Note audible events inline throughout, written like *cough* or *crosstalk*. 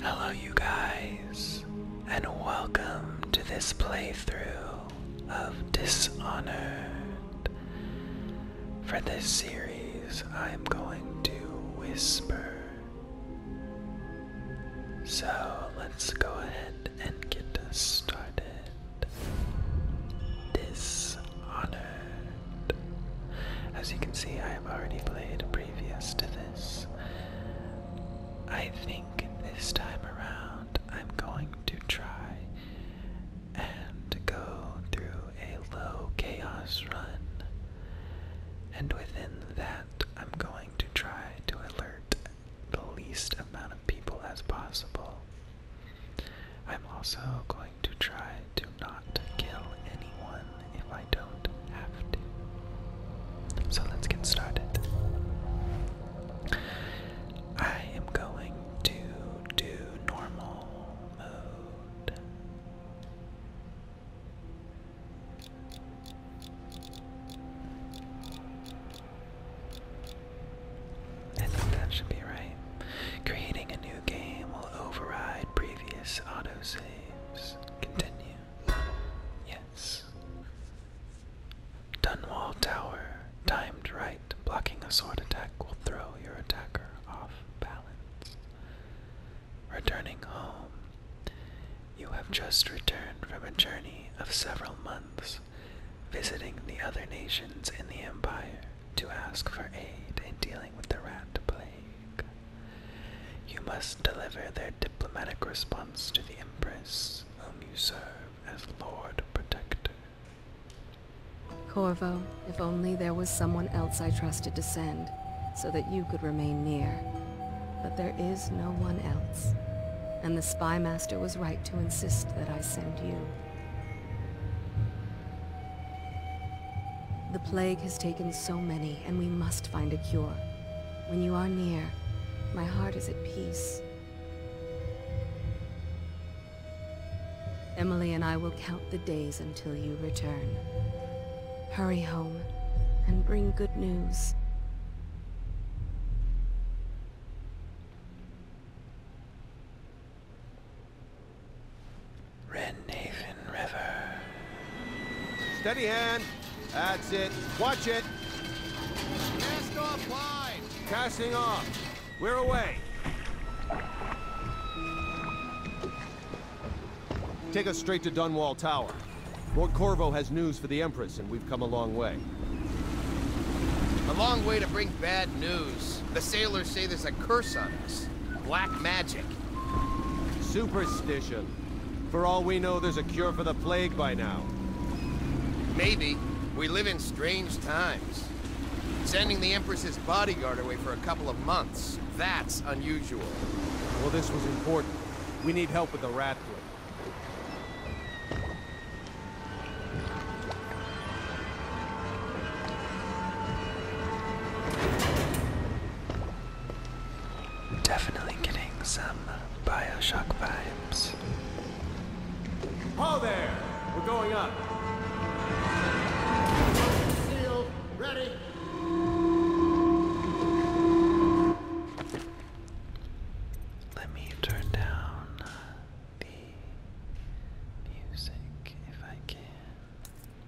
Hello, you guys, and welcome to this playthrough of Dishonored. For this series, I am going to whisper. So let's go ahead and get started. Dishonored. As you can see, I have already played previous to this. I think this time around I'm going to try and go through a low chaos run. And within that, I'm going to try to alert the least amount of people as possible. I'm also going to try to not kill anyone if I don't have to. So let's get started. I am going to do normal mode. I think that should be right. Creating a new game will override previous autosave. Continue. Yes. Dunwall Tower, timed right, blocking a sword attack will throw your attacker off balance. Returning home, you have just returned from a journey of several months, visiting the other nations in the Empire to ask for aid in dealing with the rat plague. You must deliver their diplomatic response to the Empress, whom you serve as Lord Protector. Corvo, if only there was someone else I trusted to send, so that you could remain near. But there is no one else. And the Spy Master was right to insist that I send you. The plague has taken so many and we must find a cure. When you are near, my heart is at peace. Emily and I will count the days until you return. Hurry home, and bring good news. Red River. Steady hand. That's it. Watch it. Cast off line. Casting off. We're away. Take us straight to Dunwall Tower. Lord Corvo has news for the Empress, and we've come a long way. A long way to bring bad news. The sailors say there's a curse on us. Black magic. Superstition. For all we know, there's a cure for the plague by now. Maybe. We live in strange times. Sending the Empress's bodyguard away for a couple of months. That's unusual. Well, this was important. We need help with the rat plague. Definitely getting some Bioshock vibes. All there! We're going up! Seal, ready! Let me turn down the music if I can.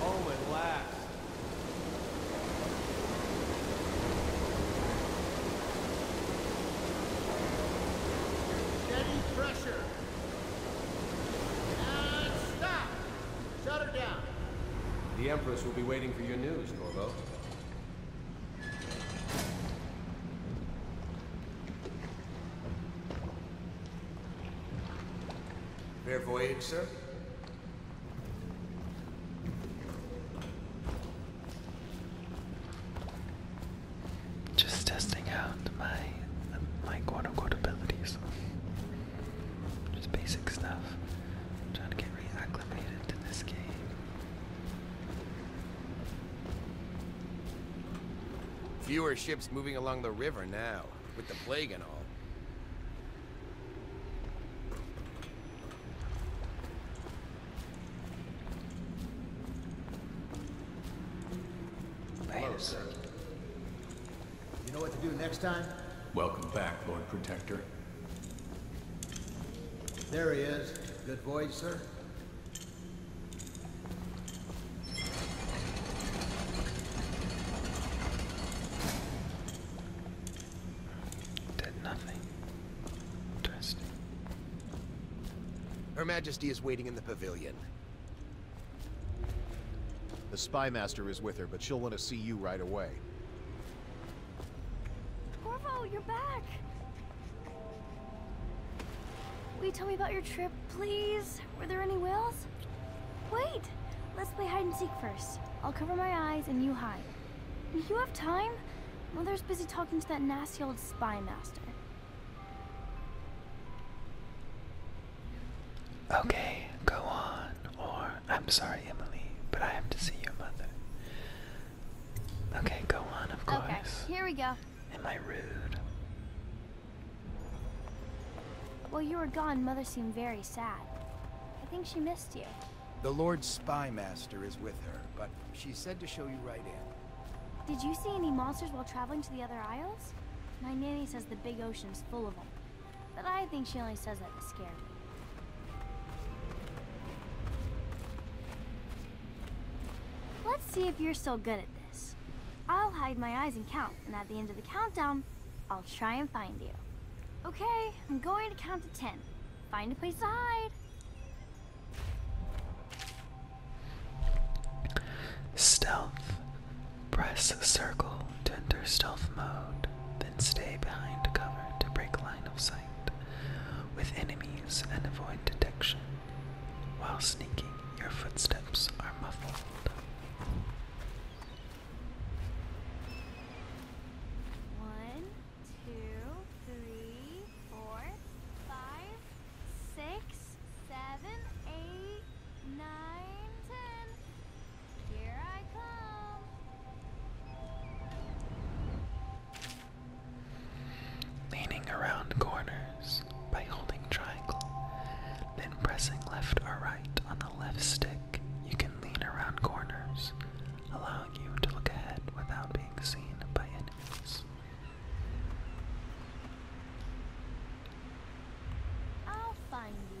Home oh, at last. Steady pressure. And stop. Shut her down. The Empress will be waiting for your news, Corvo. Fair voyage, sir. Just testing out my my quote unquote abilities. Just basic stuff. trying to get reacclimated to this game. Fewer ships moving along the river now, with the plague and all. Wait You know what to do next time? Welcome back, Lord Protector. There he is. Good voyage, sir. Did nothing. Interesting. Her Majesty is waiting in the pavilion. The spy master is with her, but she'll want to see you right away. Corvo, you're back! Will you tell me about your trip, please? Were there any whales? Wait! Let's play hide and seek first. I'll cover my eyes and you hide. You have time? Mother's busy talking to that nasty old spy master. Okay, go on. Or, I'm sorry, Emily, but I have to see your mother. Okay, go on, of course. Okay, here we go. Am I rude? While you were gone, Mother seemed very sad. I think she missed you. The Lord Spy Master is with her, but she said to show you right in. Did you see any monsters while traveling to the other isles? My nanny says the big ocean's full of them. But I think she only says that to scare me. Let's see if you're still good at this. I'll hide my eyes and count, and at the end of the countdown, I'll try and find you. Okay, I'm going to count to ten. Find a place to hide. Stealth. Press circle to enter stealth mode, then stay behind cover to break line of sight with enemies and avoid detection. While sneaking, your footsteps are muffled. One, two, three, four, five, six, seven, eight, nine, ten. Here I come. Leaning around corners, by holding triangle, then pressing left or right on the left stick. You can lean around corners, allowing you to look ahead without being seen by enemies. I'll find you.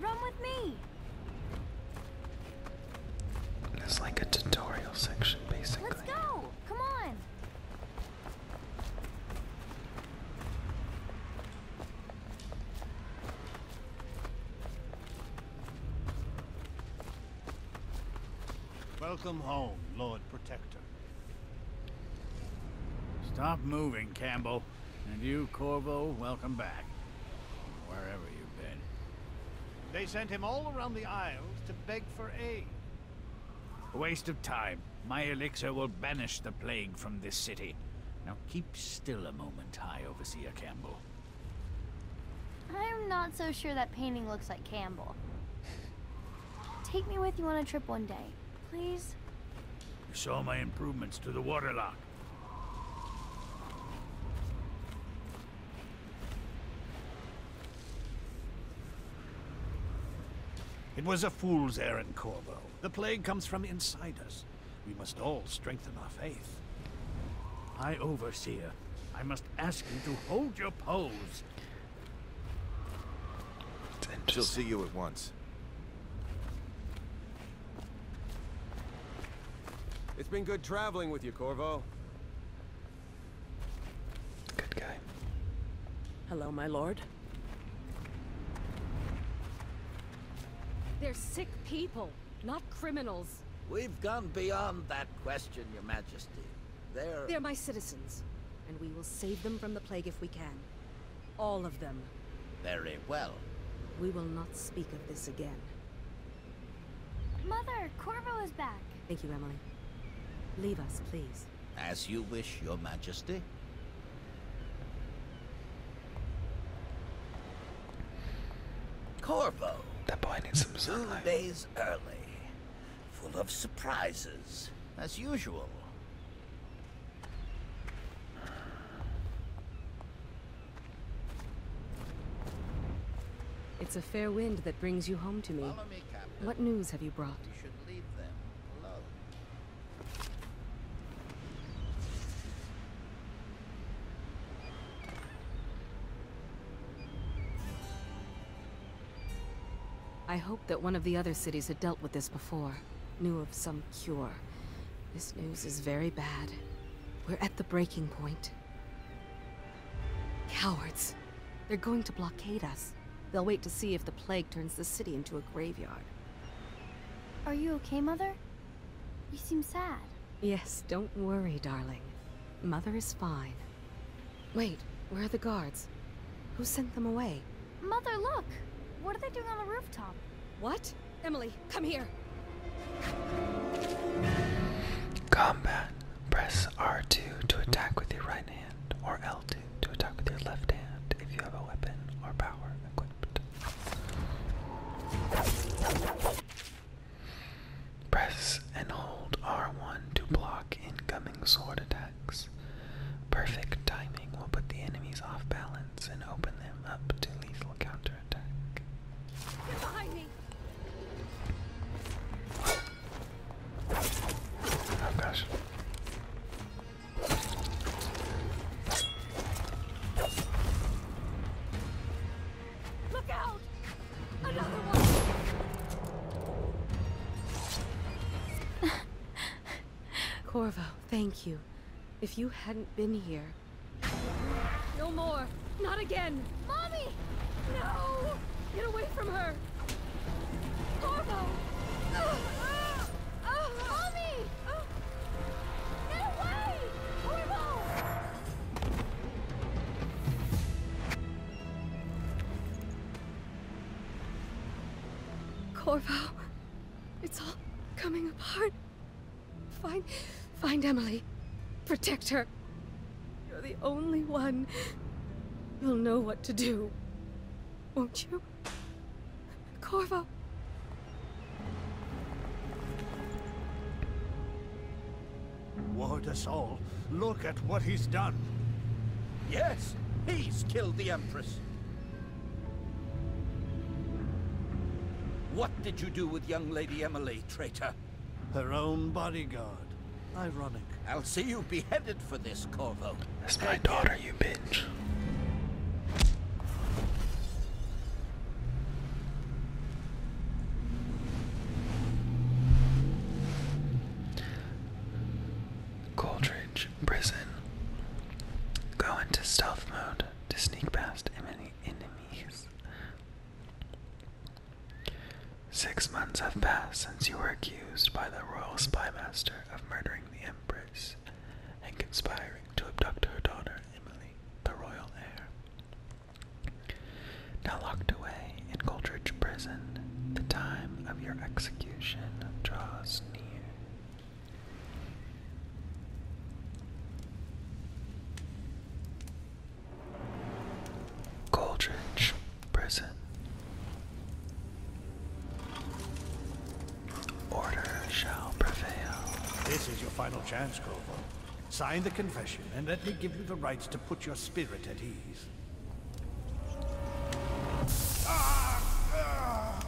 Run with me. It's like a tutorial section, basically. Let's go. Come on. Welcome home, Lord Protector. Stop moving, Campbell. And you, Corvo, welcome back. Wherever you've been. They sent him all around the Isles to beg for aid. waste of time. My elixir will banish the plague from this city. Now keep still a moment, High Overseer Campbell. I'm not so sure that painting looks like Campbell. Take me with you on a trip one day, please. You saw my improvements to the water lock. It was a fool's errand, Corvo. The plague comes from inside us. We must all strengthen our faith. High Overseer, I must ask you to hold your pose. She'll see you at once. It's been good traveling with you, Corvo. Good guy. Hello, my lord. They're sick people, not criminals. We've gone beyond that question, your majesty. They're... They're my citizens, and we will save them from the plague if we can. All of them. Very well. We will not speak of this again. Mother, Corvo is back. Thank you, Emily. Leave us, please. As you wish, Your Majesty. Corvo. That boy needs some sunlight. days early. Full of surprises, as usual. It's a fair wind that brings you home to me. what news have you brought? I hope that one of the other cities had dealt with this before knew of some cure. This news is very bad. We're at the breaking point. Cowards. They're going to blockade us. They'll wait to see if the plague turns the city into a graveyard. Are you okay, Mother? You seem sad. Yes, don't worry, darling. Mother is fine. Wait, where are the guards? Who sent them away? Mother, look! What are they doing on the rooftop? What? Emily, come here. Combat. Press R2 to attack with your right hand, or L2 to attack with your left hand if you have a weapon or power equipped. Press and hold R1 to block incoming sword attacks. Perfect timing will put the enemies off balance and open them up to lethal counterattack. Oh, *laughs* Corvo, thank you. If you hadn't been here, no more. Not again. Mommy! No! Get away from her! Corvo! Ah! Ah! mommy! Ah! Get away! Corvo! Corvo, it's all coming apart. Find... find Emily. Protect her. You're the only one. You'll know what to do. Won't you? Corvo... Ward us all. Look at what he's done. Yes, he's killed the Empress. What did you do with young Lady Emily, traitor? Her own bodyguard. Ironic. I'll see you beheaded for this, Corvo. It's my daughter, you bitch. Coldridge Prison. Go into stealth mode to sneak past any enemies. Six months have passed since you were accused by the royal spymaster of murdering the Empress and conspiring to abduct her daughter, Emily, the royal heir. Now locked away in Goldridge Prison, the time of your execution draws near. Goldridge Prison. Order shall prevail. This is your final chance, Grover. Sign the confession and let me give you the rights to put your spirit at ease. Ah, ah.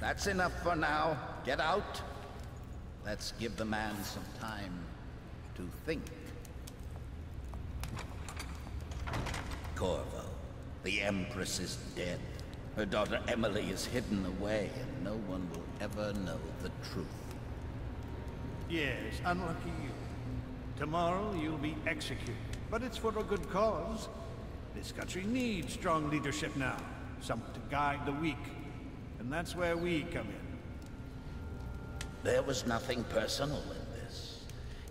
That's enough for now. Get out. Let's give the man some time to think. Corvo, the Empress is dead. Her daughter Emily is hidden away, and no one will ever know the truth. Yes, unlucky you. Tomorrow you'll be executed, but it's for a good cause. This country needs strong leadership now, someone to guide the weak. And that's where we come in. There was nothing personal in this,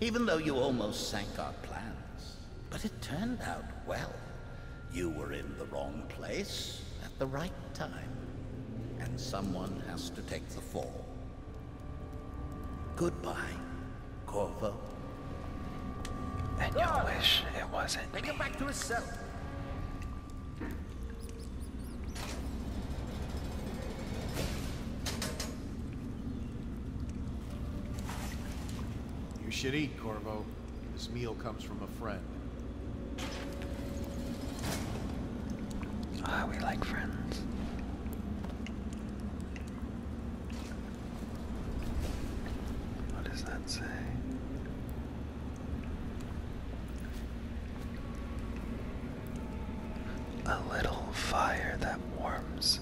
even though you almost sank our plans. But it turned out well. You were in the wrong place at the right time, and someone has to take the fall. Goodbye. Corvo? And you wish it wasn't Take me. back to his cell. You should eat, Corvo. This meal comes from a friend. Ah, we like friends. What does that say? A little fire that warms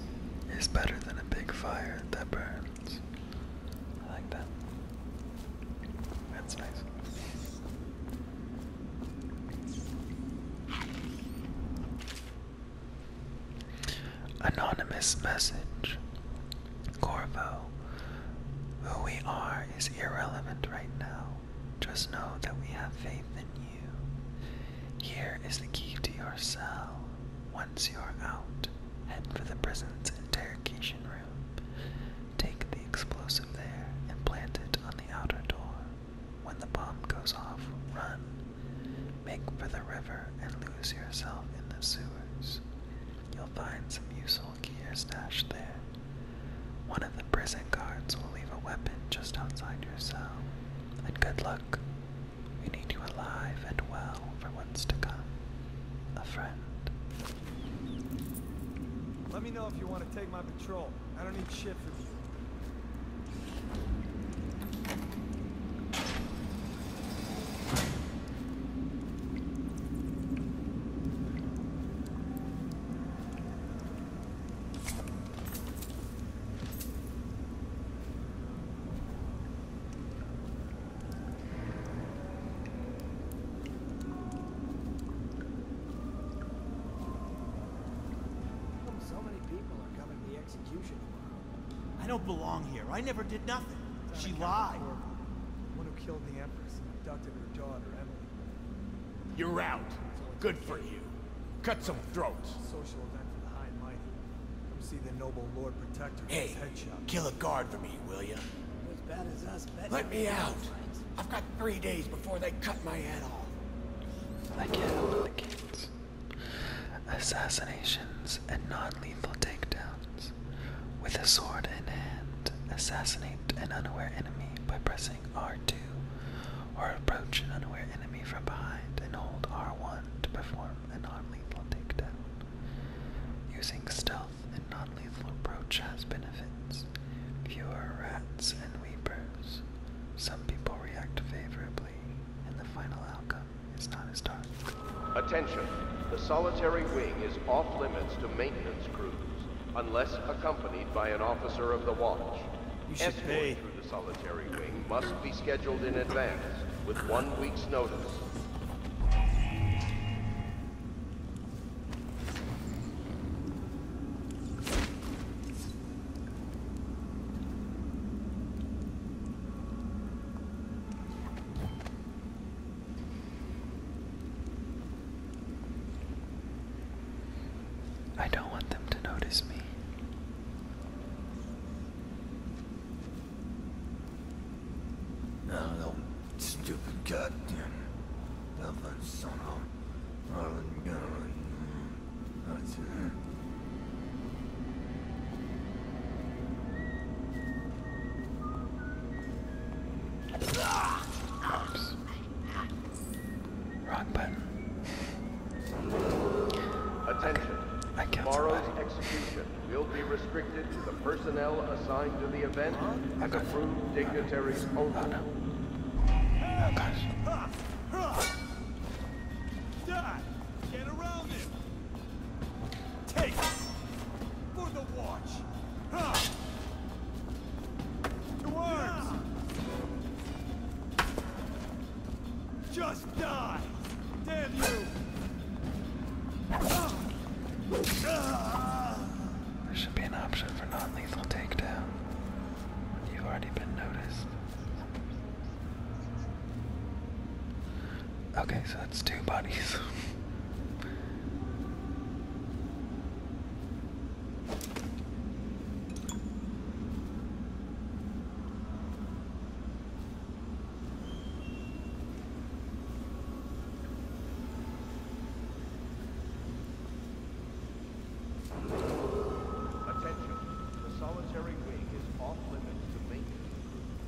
is better than a big fire that burns. like that. That's nice. Anonymous message. Corvo, who we are is irrelevant right now. Just know that we have faith in you. Here is the key to your cell. Once you're out, head for the prison's interrogation room. Take the explosive there and plant it on the outer door. When the bomb goes off, run. Make for the river and lose yourself in the sewers. You'll find some useful gear stashed there. One of the prison guards will leave a weapon just outside your cell. And good luck. We need you alive and well for what's to come. A friend. Let me know if you want to take my patrol. I don't need shit from you so many people are coming the execution. I don't belong here. I never did nothing. She lied. The one who killed the Empress and abducted her daughter, Emily. You're out. Good for you. Cut some throats. Social event for the high and mighty. Come see the noble Lord Protector. Hey, kill a guard for me, will you? Let me out. I've got three days before they cut my head off. I can't hold the kids assassinations, and non lethal takedowns. With a sword in hand, assassinate an unaware enemy by pressing R2 or approach an unaware enemy from behind and hold R1 to perform a non lethal takedown. Using stealth and non lethal approach has benefits. Fewer rats and weepers. Some people react favorably, in the final outcome Attention. The solitary wing is off limits to maintenance crews unless accompanied by an officer of the watch. You Escort through the solitary wing must be scheduled in advance with one week's notice. I don't want them to notice me. oh, stupid goddamn Dublin son of a Marlon Oops. Wrong button. Attention. I, I Tomorrow's execution will be restricted to the personnel assigned to the event oh, and approved dignitaries only. Oh, Get around him! Take for the watch. huh? To arms. Just die. Damn you. There should be an option for non-lethal takedown. You've already been noticed. Okay, so that's two bodies. Attention. The solitary wing is off limits to maintenance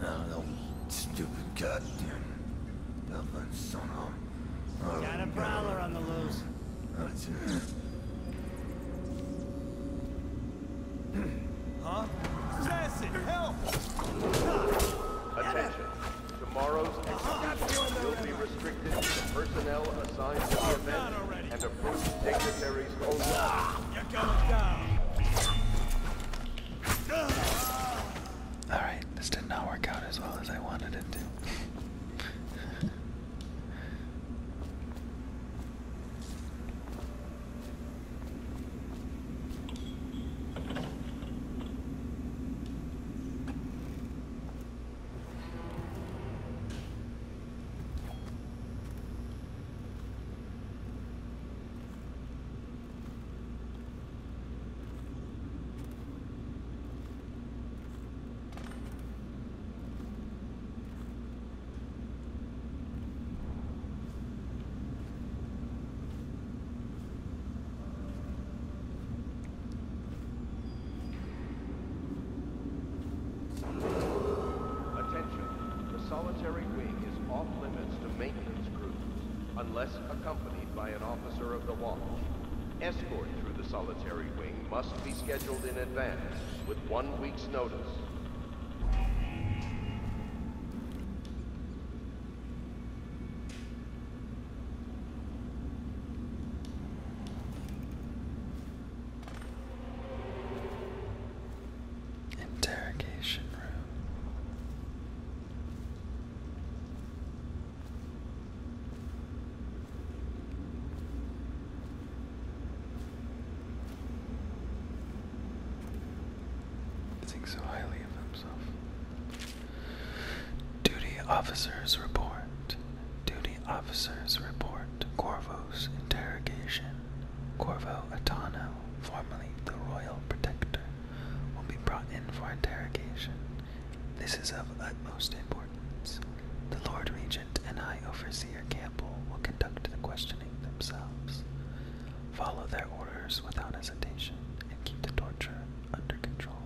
I don't know, stupid goddamn Dublin son Got a prowler on the loose. *clears throat* huh? Assassin, help! Attention. Tomorrow's uh-huh. event will be restricted to personnel assigned to oh, the event and approved dignitaries only. You're going down! Ah! Alright, this did not work out as well as I wanted it to. Attention. The solitary wing is off limits to maintenance crews unless accompanied by an officer of the watch. Escort through the solitary wing must be scheduled in advance with one week's notice. Interrogation room. Think so highly of himself. Duty officers report. Duty officers report. Corvo's interrogation. Corvo Atano, formerly the Royal Protector, will be brought in for interrogation. This is of utmost importance. The Lord Regent and High Overseer Campbell will conduct the questioning themselves. Follow their orders without hesitation and keep the torture under control.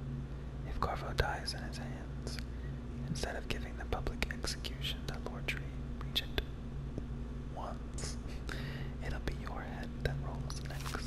If Carvo dies in his hands, instead of giving the public execution that Lord Regent wants, *laughs* it'll be your head that rolls next.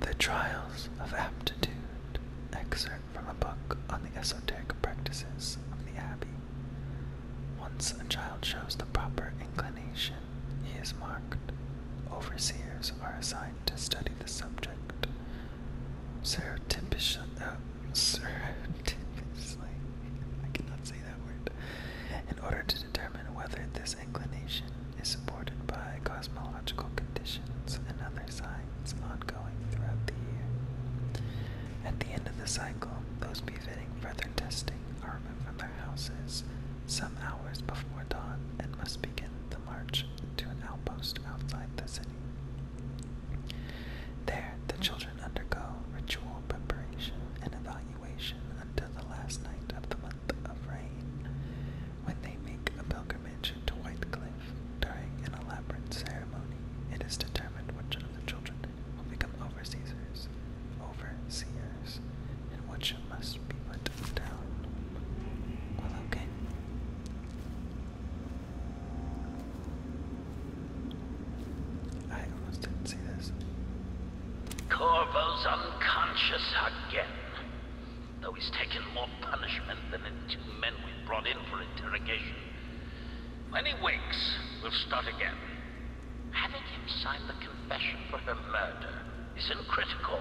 The Trials of Aptitude, excerpt from a book on the esoteric practices of the Abbey. Once a child shows the proper inclination, he is marked. Overseers are assigned to study the subject. Serotypic, surreptitiously, *laughs* I cannot say that word, in order to determine whether this inclination is supported by cosmological conditions and other signs ongoing throughout the year. At the end of the cycle, those befitting further testing are removed from their houses some hours before dawn and must begin the march to an outpost outside the city. There, the children undergo ritual preparation and evaluation until the last night of the month of rain, when they make a pilgrimage to White Cliff during an elaborate ceremony. It is determined which of the children will become overseers, overseers, and which must be put down. okay. I almost didn't see this. Corvo's unconscious again. Though he's taken more punishment than the two men we brought in for interrogation. When he wakes, we'll start again. Having him sign the confession for her murder isn't critical,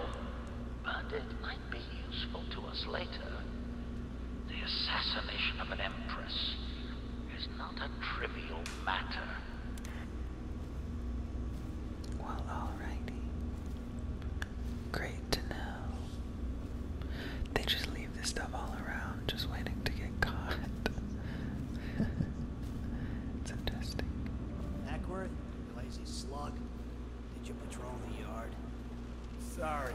but it might be useful to us later. The assassination of an empress is not trivial matter. Well, alrighty. Great to know. They just leave this stuff all around, just waiting to get caught. *laughs* it's interesting. Hackworth, you lazy slug. Did you patrol the yard? Sorry,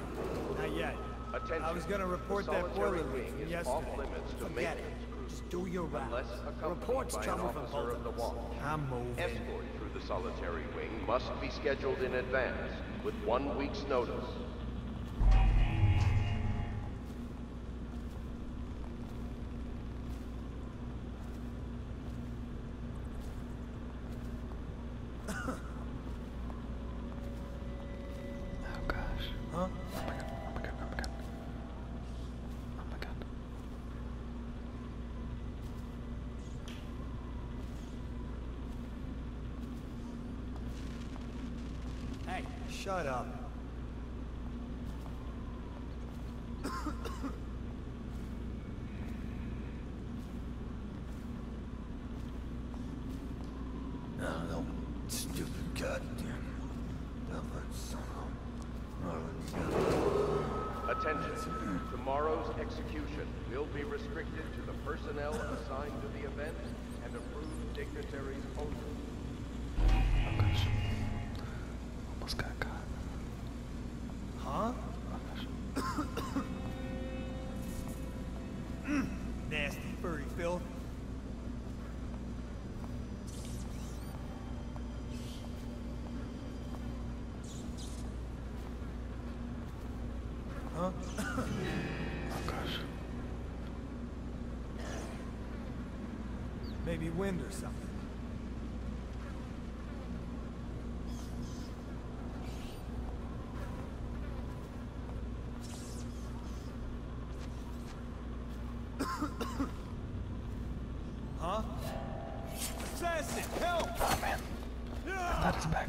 not yet. Attention. I was gonna report that boiler leak yesterday. Forget it. Just do your rounds. Reports trouble from the wall. I'm moving. through the solitary wing must be scheduled in advance with one week's notice. *laughs* Oh gosh. Oh my god, oh my god, oh my god. Oh my god. Hey, shut up. Oh, Attention. Tomorrow's execution will be restricted to the personnel assigned to the event and approved dignitaries only. Pokaż. Poskaka. Huh? *coughs* Nasty furry filth. Huh? oh gosh. Maybe wind or something huh? Assassin, help! Oh man. I thought his back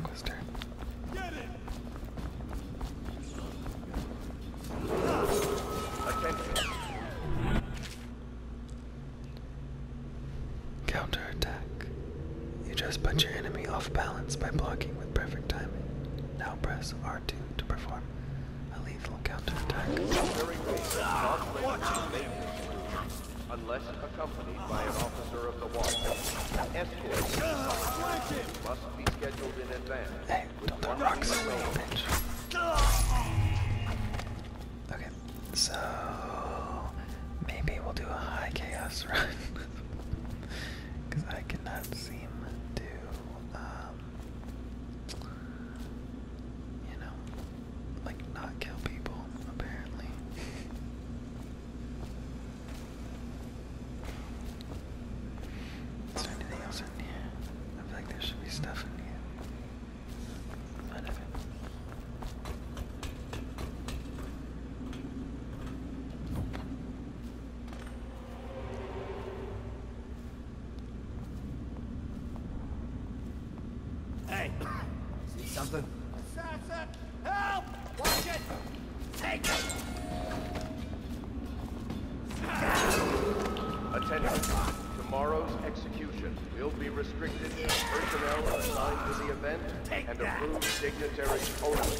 You just put your enemy off balance by blocking with perfect timing. Now press R to, perform a lethal counterattack. the wall, Okay, so maybe we'll do a high chaos *laughs* run because I cannot seem to um, you know, like not kill people, apparently. Is there anything else in here? I feel like there should be stuff in here. None Hey, see something? Assassin, help! Watch it! Take it! Attention. Tomorrow's execution will be restricted to personnel assigned to the event and approved dignitaries only.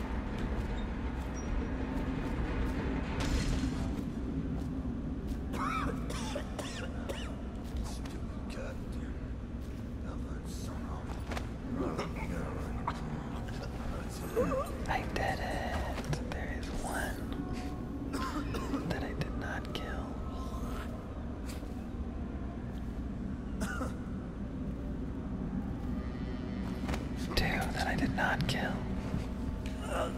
I did it. There is one that I did not kill. Two that I did not kill. Ugh.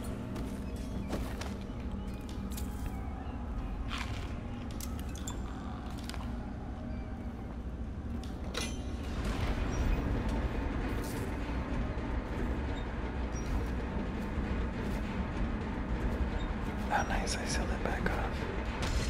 nice, I sealed it back off.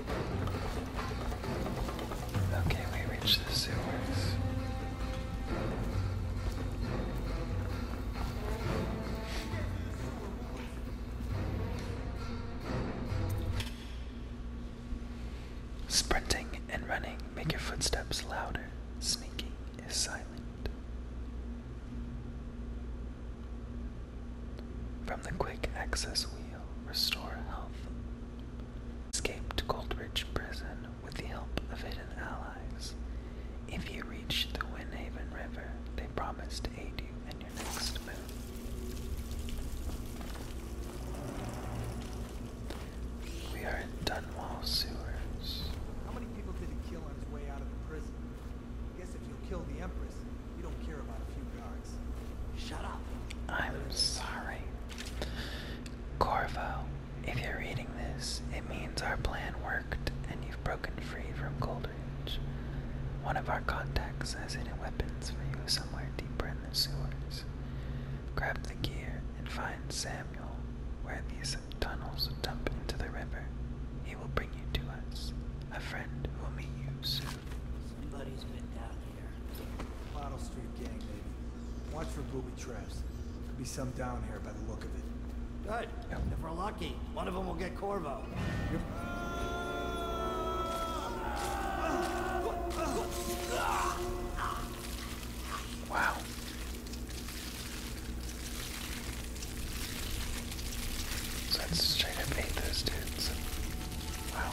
Okay, we reached the sewers. Sprinting and running make your footsteps louder. Sneaking is silent. From the quick access wheel, restore health. Escape to Goldridge Prison with the help of hidden allies. If you reach the Winhaven River, they promise to aid you in your next move. We are in Dunwall Sewers. How many people did he kill on his way out of the prison? guess if you kill the Empress, I'm sorry. Corvo, if you're reading this, it means our plan worked and you've broken free from Coldridge. One of our contacts has hidden weapons for you somewhere deeper in the sewers. Grab the gear and find Samuel where these tunnels dump into the river. He will bring you to us, a friend will meet you soon here. Bottle Street gang, baby. Watch for booby traps. Could be some down here by the look of it. Good. If we're lucky, one of them will get Corvo. Wow. that's straight up ate those dudes. Wow.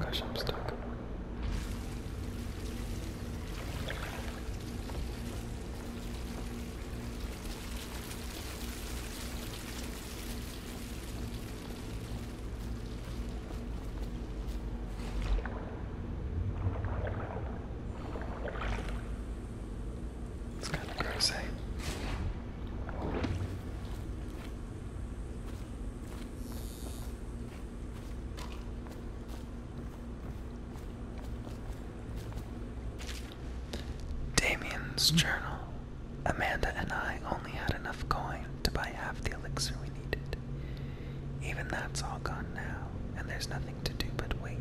Gosh, I'm stuck. It's kind of gross, Damien's journal. Amanda and I only had enough coin to buy half the elixir we needed. Even that's all gone now, and there's nothing to do but wait.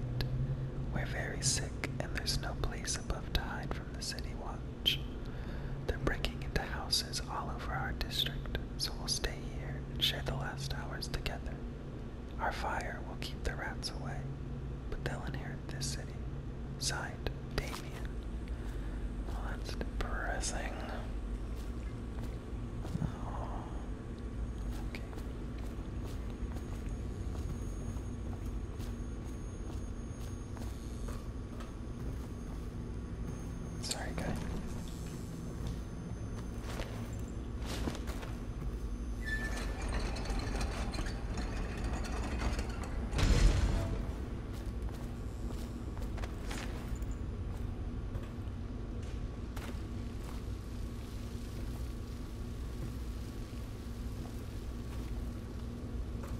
We're very sick, and there's no place above to hide from the city watch. They're breaking into houses all over our district, so we'll stay here and share the last hours together. Our fire will keep the rats away, but they'll inherit this city. Signed, Damien. Well, that's depressing. Oh, okay. Sorry, guy.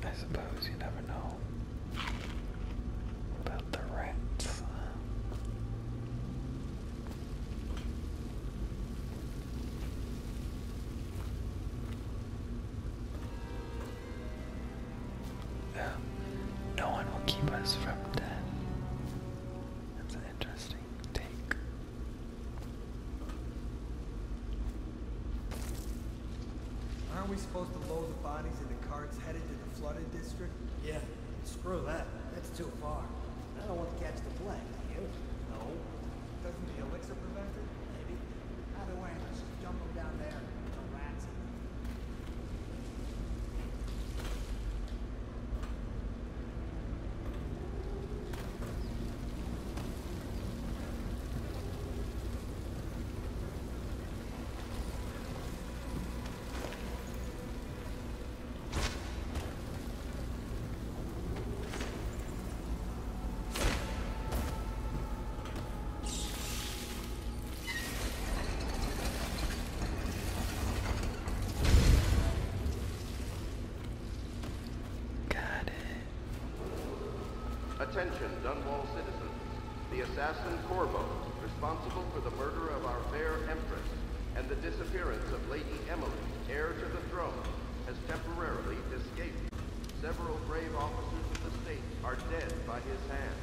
I suppose you never know about the rats. Uh, no one will keep us from death. That's an interesting take. Aren't we supposed to load the bodies in the carts headed to the flooded district? Yeah, screw that. That's too far. I don't want to catch the plague. No. Doesn't the elixir prevent it? Maybe. Either way, let's just dump them down there. The rats. Got it. Attention, Dunwall citizens. The assassin Corvo, responsible for the murder of our fair Empress and the disappearance of Lady Emily, heir to the throne, has temporarily escaped. Several brave officers of the state are dead by his hand.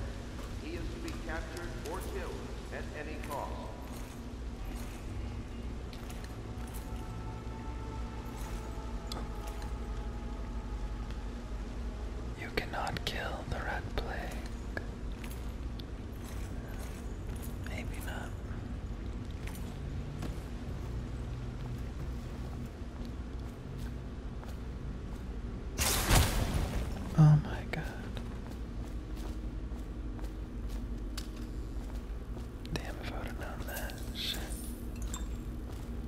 He is to be captured or killed at any cost. You cannot kill the red plague. Maybe not. Oh, my God. Damn, I would have that. Shit.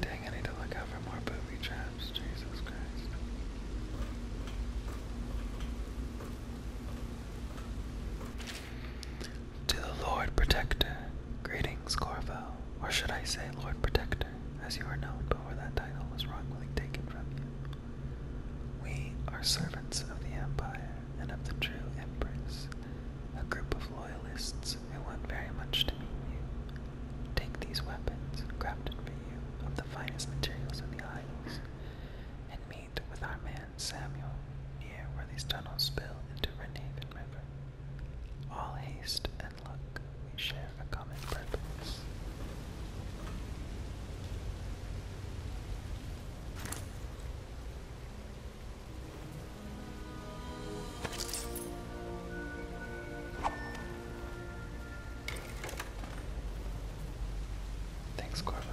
Dang, I need to look out for more booby traps. Jesus Christ. To the Lord Protector, greetings, Corval. Or should I say Lord Protector, as you are known before that title was wrongly taken from you. We are servants of the Empire and of the true Empress, a group of loyalists who want very much to meet you. Take these weapons, crafted for you, of the finest materials in the islands, and meet with our man Samuel, near where these tunnels spill into Renhaven River. All haste and luck, we share a common purpose. Thanks, Corvo.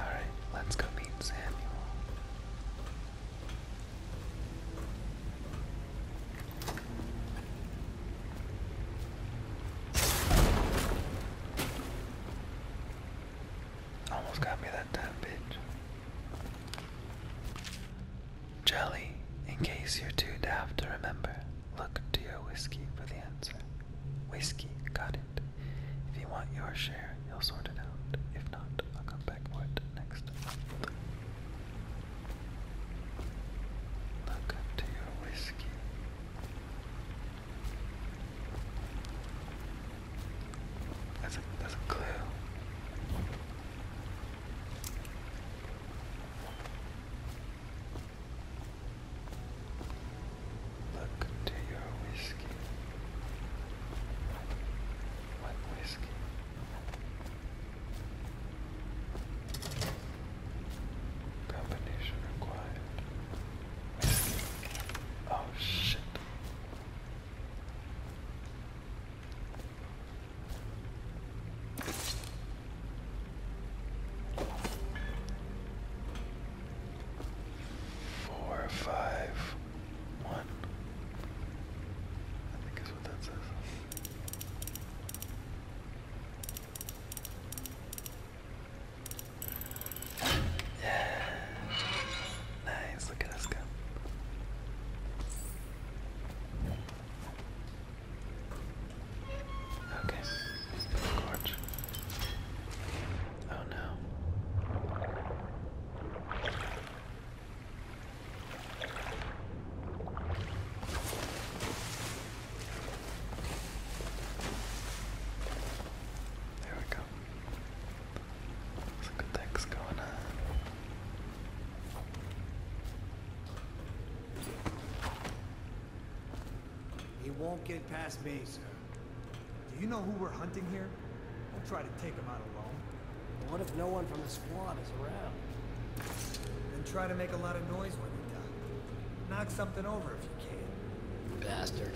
All right, let's go meet Samuel. Almost got me that time, bitch. Jelly, in case you're too daft to remember, look to your whiskey for the answer. Whiskey, got it. If you want your share, you'll sort it out. If not, I'll come back for it next month. Look up your whiskey. That's a that's a clue. Look to your whiskey. What whiskey? Combination required. Oh shit. Four, five, one. I think is what that says. *sighs* nice, look at us go. Okay, gorge. Oh no. There we go. Some good things going on. He won't get past me, sir. Do you know who we're hunting here? Don't try to take him out alone. What if no one from the squad is around. Then try to make a lot of noise when you die. Knock something over if you can. Bastard.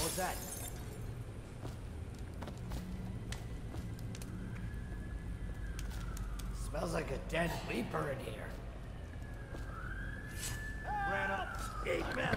What's that? Smells like a dead leaper in here. Ran up eight men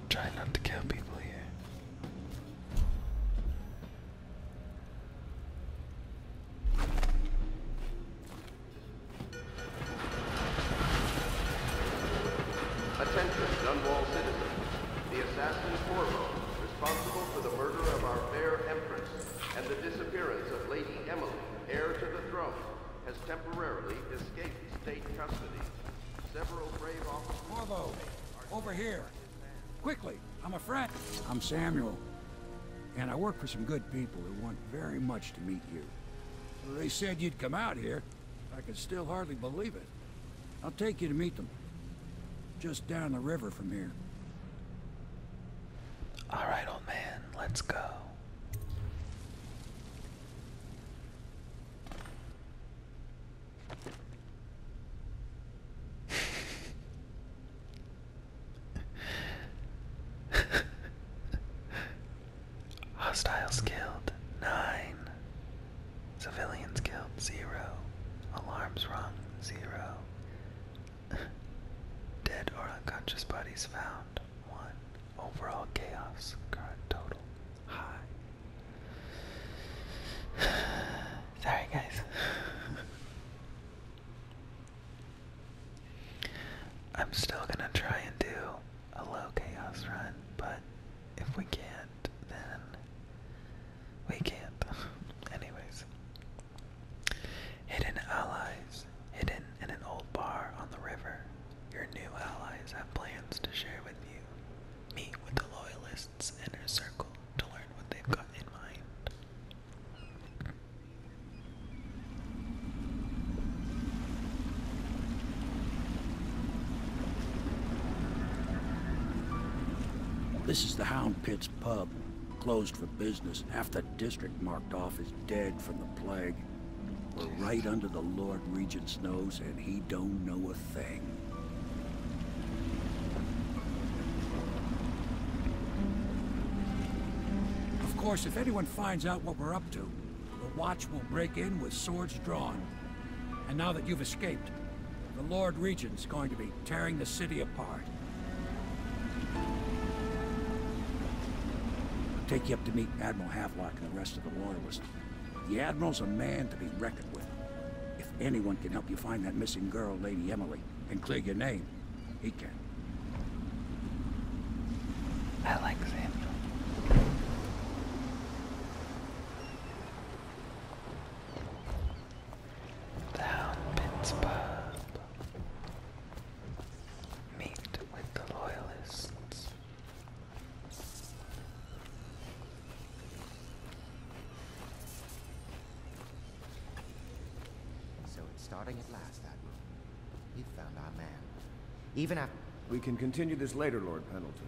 Try not to kill people here. Attention, Dunwall citizens. The assassin Corvo, responsible for the murder of our fair empress and the disappearance of Lady Emily, heir to the throne, has temporarily escaped state custody. Several brave officers... Corvo, over here. Quickly, I'm a friend. I'm Samuel. And I work for some good people who want very much to meet you. They said you'd come out here. I can still hardly believe it. I'll take you to meet them. Just down the river from here. All right, old man. Let's go. *laughs* Hostiles killed, nine. Civilians killed, zero. Alarms rung, zero. *laughs* Dead or unconscious bodies found, one. Overall chaos current total high. *sighs* Sorry, guys. *laughs* I'm still gonna try and do a low chaos run, but if we can't, then we can't. *laughs* Anyways. Hidden allies, hidden in an old bar on the river, your new allies have plans to share with you. Meet with the loyalists' inner circle to learn what they've got in mind. This is the Hound Pit's pub, closed for business half the district marked off is dead from the plague. We're right under the Lord Regent's nose, and he don't know a thing. Of course, if anyone finds out what we're up to, the Watch will break in with swords drawn. And now that you've escaped, the Lord Regent's going to be tearing the city apart. take you up to meet Admiral Havelock and the rest of the Loyalists. The Admiral's a man to be reckoned with. If anyone can help you find that missing girl, Lady Emily, and clear your name, he can. Alexander. Down Pitt's Meet with the Loyalists. So it's starting at last, Admiral. We've found our man. Even after... We can continue this later, Lord Pendleton.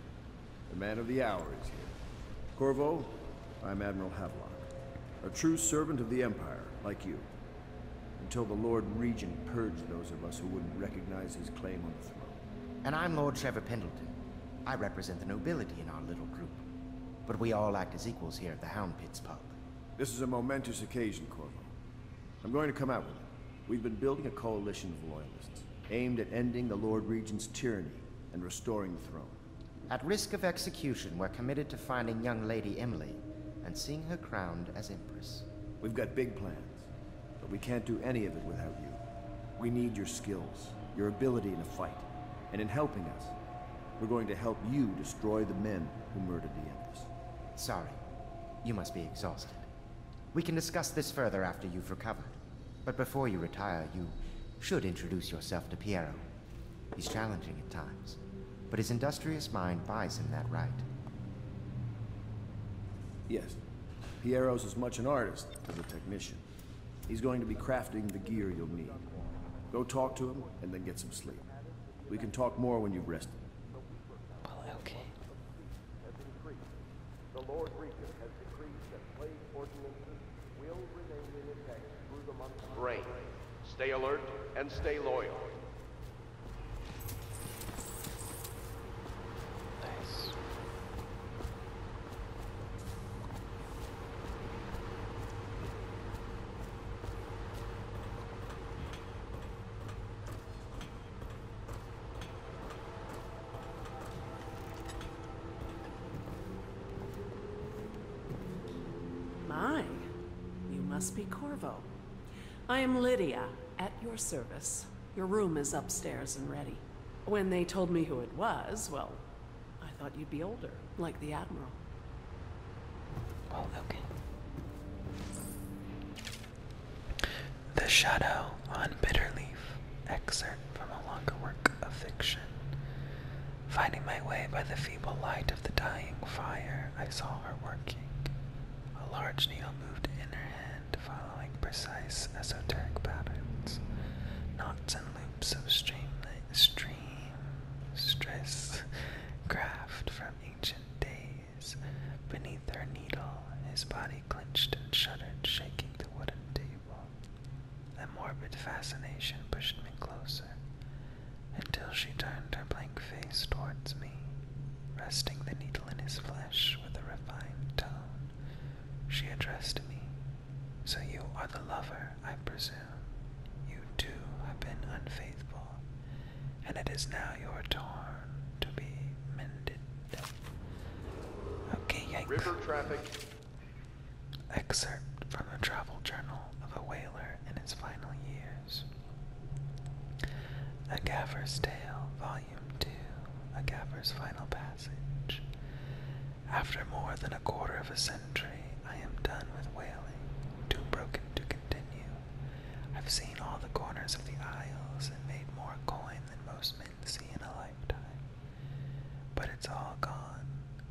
The man of the hour is here. Corvo, I'm Admiral Havelock. A true servant of the Empire, like you. Until the Lord Regent purged those of us who wouldn't recognize his claim on the throne. And I'm Lord Trevor Pendleton. I represent the nobility in our little group. But we all act as equals here at the Hound Pits pub. This is a momentous occasion, Corvo. I'm going to come out with it. We've been building a coalition of loyalists, aimed at ending the Lord Regent's tyranny and restoring the throne. At risk of execution, we're committed to finding young Lady Emily and seeing her crowned as Empress. We've got big plans. But we can't do any of it without you. We need your skills, your ability in a fight, and in helping us. We're going to help you destroy the men who murdered the Empress. Sorry. You must be exhausted. We can discuss this further after you've recovered. But before you retire, you should introduce yourself to Piero. He's challenging at times, but his industrious mind buys him that right. Yes. Piero's as much an artist as a technician. He's going to be crafting the gear you'll need. Go talk to him and then get some sleep. We can talk more when you've rested. okay. The Stay alert and stay loyal. Nice. My, you must be Corvo. I am Lydia, at your service. Your room is upstairs and ready. When they told me who it was, well, I thought you'd be older, like the Admiral. Oh, okay. The Shadow on Bitterleaf, excerpt from a longer work of fiction. Finding my way by the feeble light of the dying fire, I saw her working. A large needle moved in her hand and following precise esoteric patterns, knots and loops of stream, stream stress craft from ancient days. Beneath her needle, his body clenched and shuddered, shaking the wooden table. A morbid fascination pushed me closer, until she turned her blank face towards me, Resting the needle in his flesh with a refined tone, she addressed me. So you are the lover, I presume. You too have been unfaithful, and it is now your turn to be mended. Okay, yikes. River traffic. Excerpt from the travel journal of a whaler in his final years. A Gaffer's Tale, Volume Volume A Gaffer's Final Passage. After more than a quarter of a century, I am done with wailing, too broken to continue. I've seen all the corners of the isles and made more coin than most men see in a lifetime. But it's all gone.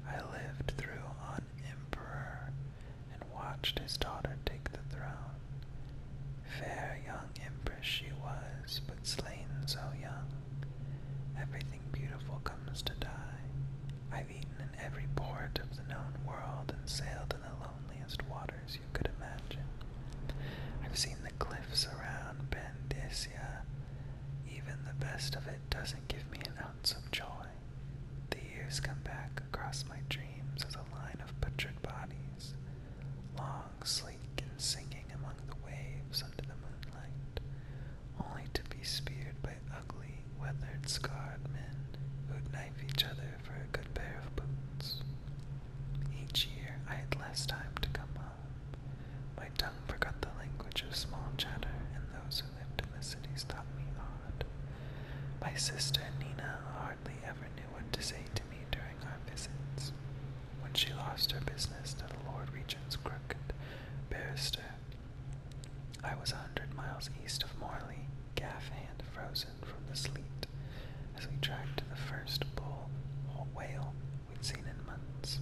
I lived through an emperor and watched his daughter take the throne. Fair young empress she was, but slain so young. Everything beautiful comes to die. I've eaten in every port of the known world and sailed in the loneliest waters you could imagine. I've seen the cliffs around Bendisia. Even the best of it doesn't give me an ounce of joy. The years come back across my dreams as a line of butchered bodies. Long sleep and sinking among the waves under the moonlight, only to be speared by ugly, weathered, scarred men who'd knife each other for a good pair of boots. Each year I had less time to come home. My tongue forgot the language of small chatter, and those who lived in the cities thought me odd. My sister Nina hardly ever knew what to say to me during our visits when she lost her business to the Lord Regent's crooked barrister. I was a hundred miles east of Morley, gaff hand frozen from the sleet, as we tracked the first bull or whale we'd seen in months.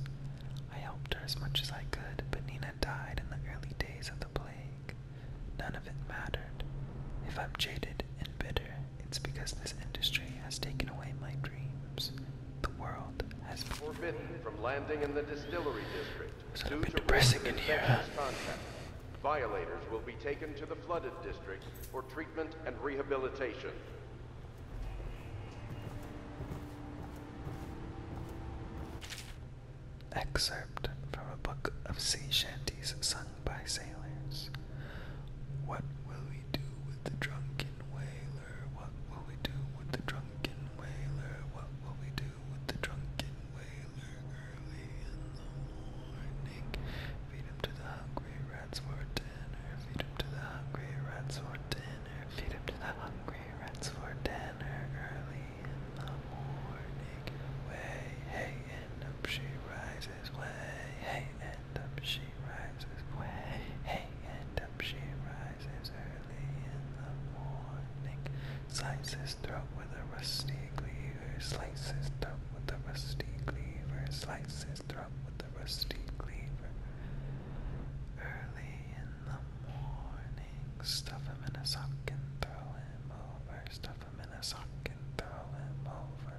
I helped her as much as I could, but Nina died in the early days of the plague. None of it mattered. If I'm jaded and bitter, it's because this industry has taken away my dreams. The world has been forbidden from landing in the distillery district. It's depressing in here. Violators will be taken to the flooded district for treatment and rehabilitation. Excerpt from a book of sea shanties by sailors. What will we do with the drunken whaler? What will we do with the drunken whaler? What will we do with the drunken whaler? Early in the morning, feed him to the hungry rats for dinner. Feed him to the hungry rats for dinner. Feed him to the hungry rats for dinner. Early in the morning, way hey and up she rises. Way hey and up she rises hey, and up she rises early in the morning. Slices throat with a rusty cleaver, slices throat with a rusty cleaver, slices throat with a rusty cleaver. Early in the morning, stuff him in a sock and throw him over, stuff him in a sock and throw him over.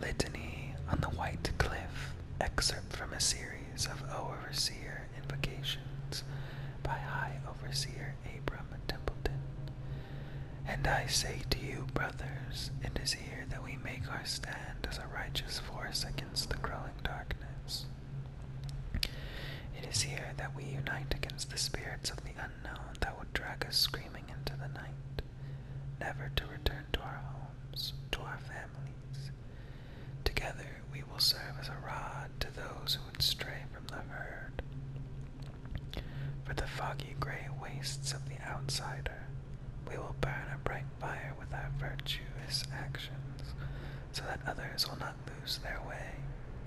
Litany on the White Cliff, excerpt from a series of overseer invocations by High Overseer Abram Templeton. And I say to you, brothers, it is here that we make our stand as a righteous force against the growing darkness. It is here that we unite against the spirits of the unknown that would drag us screaming into the night never to return to our homes, to our families. Together we will serve as a rod to those who would stray from the herd. For the foggy gray wastes of the outsider, we will burn a bright fire with our virtuous actions, so that others will not lose their way,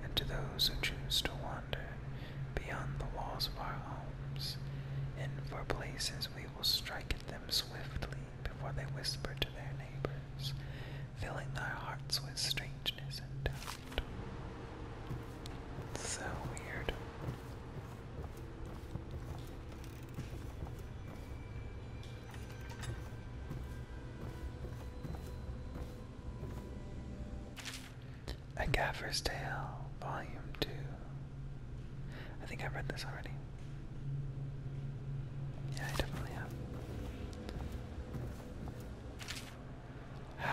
and to those who choose to wander, beyond the walls of our homes, and for places we will strike at them swiftly before they whisper to their neighbors, filling their hearts with strangeness and doubt. So weird. A Gaffer's Tale, Volume 2. I think I've read this already. Yeah, I definitely have.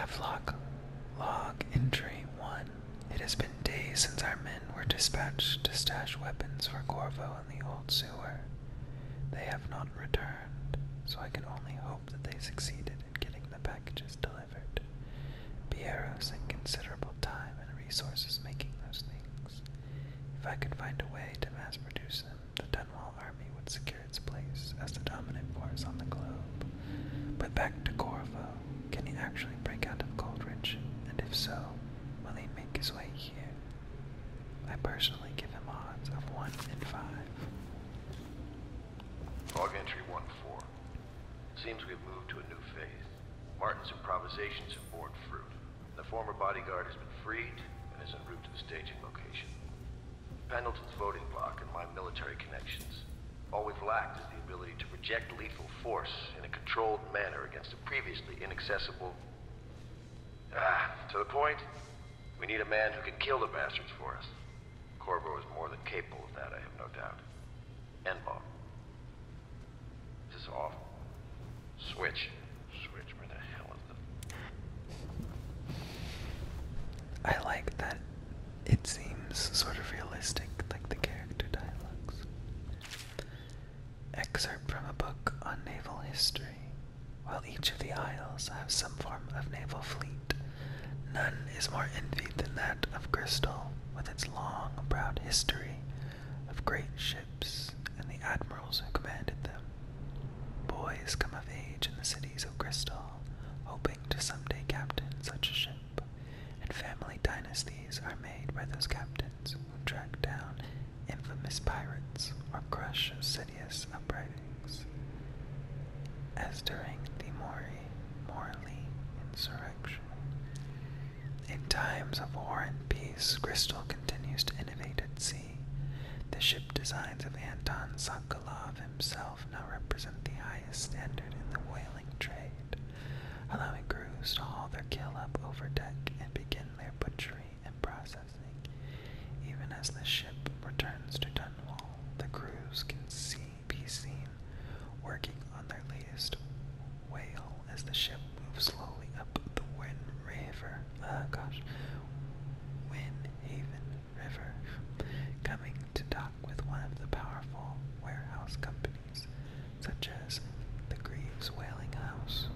Havelock Log Entry 1. It has been days since our men were dispatched to stash weapons for Corvo in the old sewer. They have not returned, so I can only hope that they succeeded in getting the packages delivered delivered. Piero considerable time and resources making those things. If I could find a way to mass produce them, the Dunwall army would secure its place as the dominant force on the globe. But back to Corvo, can he actually break out of Goldrich? And if so, will he make his way here? I personally give him odds of 1 in 5. Log entry 1 4. Seems we've moved to a new phase. Martin's improvisations have borne fruit. The former bodyguard has been freed and is en route to the staging location. Pendleton's voting block and my military connections. All we've lacked is the ability to project lethal force in a controlled manner against a previously inaccessible... Ah, to the point, we need a man who can kill the bastards for us. Corvo is more than capable of that, I have no doubt. End bar. This off. Switch. Switch, where the hell is the... I like that it seems sort of realistic, like the character dialogues. Excerpt from a book on naval history. While each of the isles have some form of naval fleet, none is more envied than that of Crystal with its long, proud history of great ships and the admirals who commanded them. Boys come of age in the cities of Crystal, hoping to someday captain such a ship, and family dynasties are made by those captains who track down infamous pirates or crush insidious uprisings. As during the Mori Morley insurrection. In times of war and peace, Crystal continues to innovate at sea. The ship designs of Anton Sokolov himself now represent the highest standard in the whaling trade, allowing crews to haul their kill up over deck and begin their butchery and processing. Even as the ship returns to Dunwall, the crews can see be seen working on their latest whale as the ship moves slowly up the Wind River. Uh, gosh, Wind Haven River, coming to dock with one of the powerful warehouse companies, such as the Greaves Whaling House.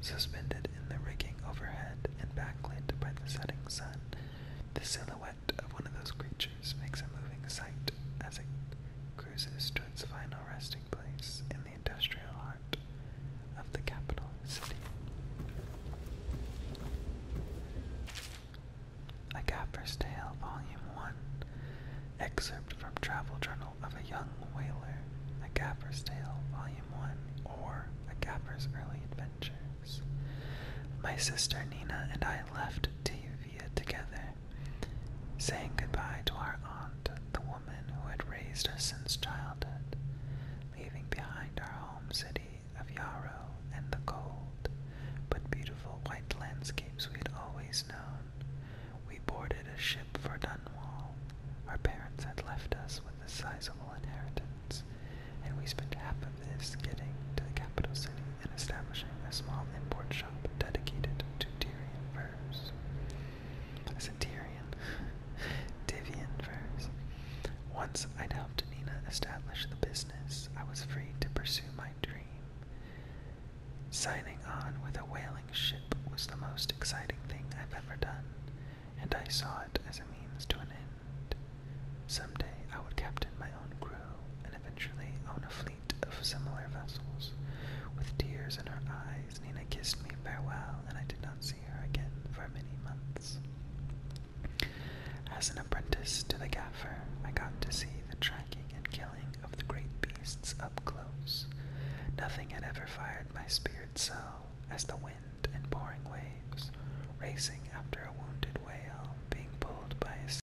Suspended in the rigging overhead and backlit by the setting sun, the silhouette silhouette of one of those creatures makes a moving sight as it cruises to its final resting place in the industrial heart of the capital city. A Gaffer's Tale, Volume 1, excerpt from Travel Journal of a Young Whaler, A Gaffer's Tale, Volume 1, or A Gaffer's Early Adventures. My sister Nina and I left Tevia together saying goodbye to our aunt, the woman who had raised us since childhood, leaving behind our home city of Yarrow and the cold but beautiful white landscapes we had always known. We boarded a ship for Dunwall. Our parents had left us with a sizable inheritance, and we spent half of this getting to the capital city and establishing a small import shop dedicated to Tyrian furs. I said Tyrian. *laughs* Tivian furs. Once I'd helped Nina establish the business, I was free to pursue my dream. Signing on with a whaling ship was the most exciting thing I've ever done, and I saw it as a means to an end. Someday I would captain my own crew and eventually own a fleet of similar vessels. With tears in her eyes, Nina kissed me farewell, and I did not see her again for many months. As an apprentice to the gaffer, I got to see the tracking and killing of the great beasts up close. Nothing had ever fired my spirit so as the wind and pouring waves, racing after a wounded whale being pulled by a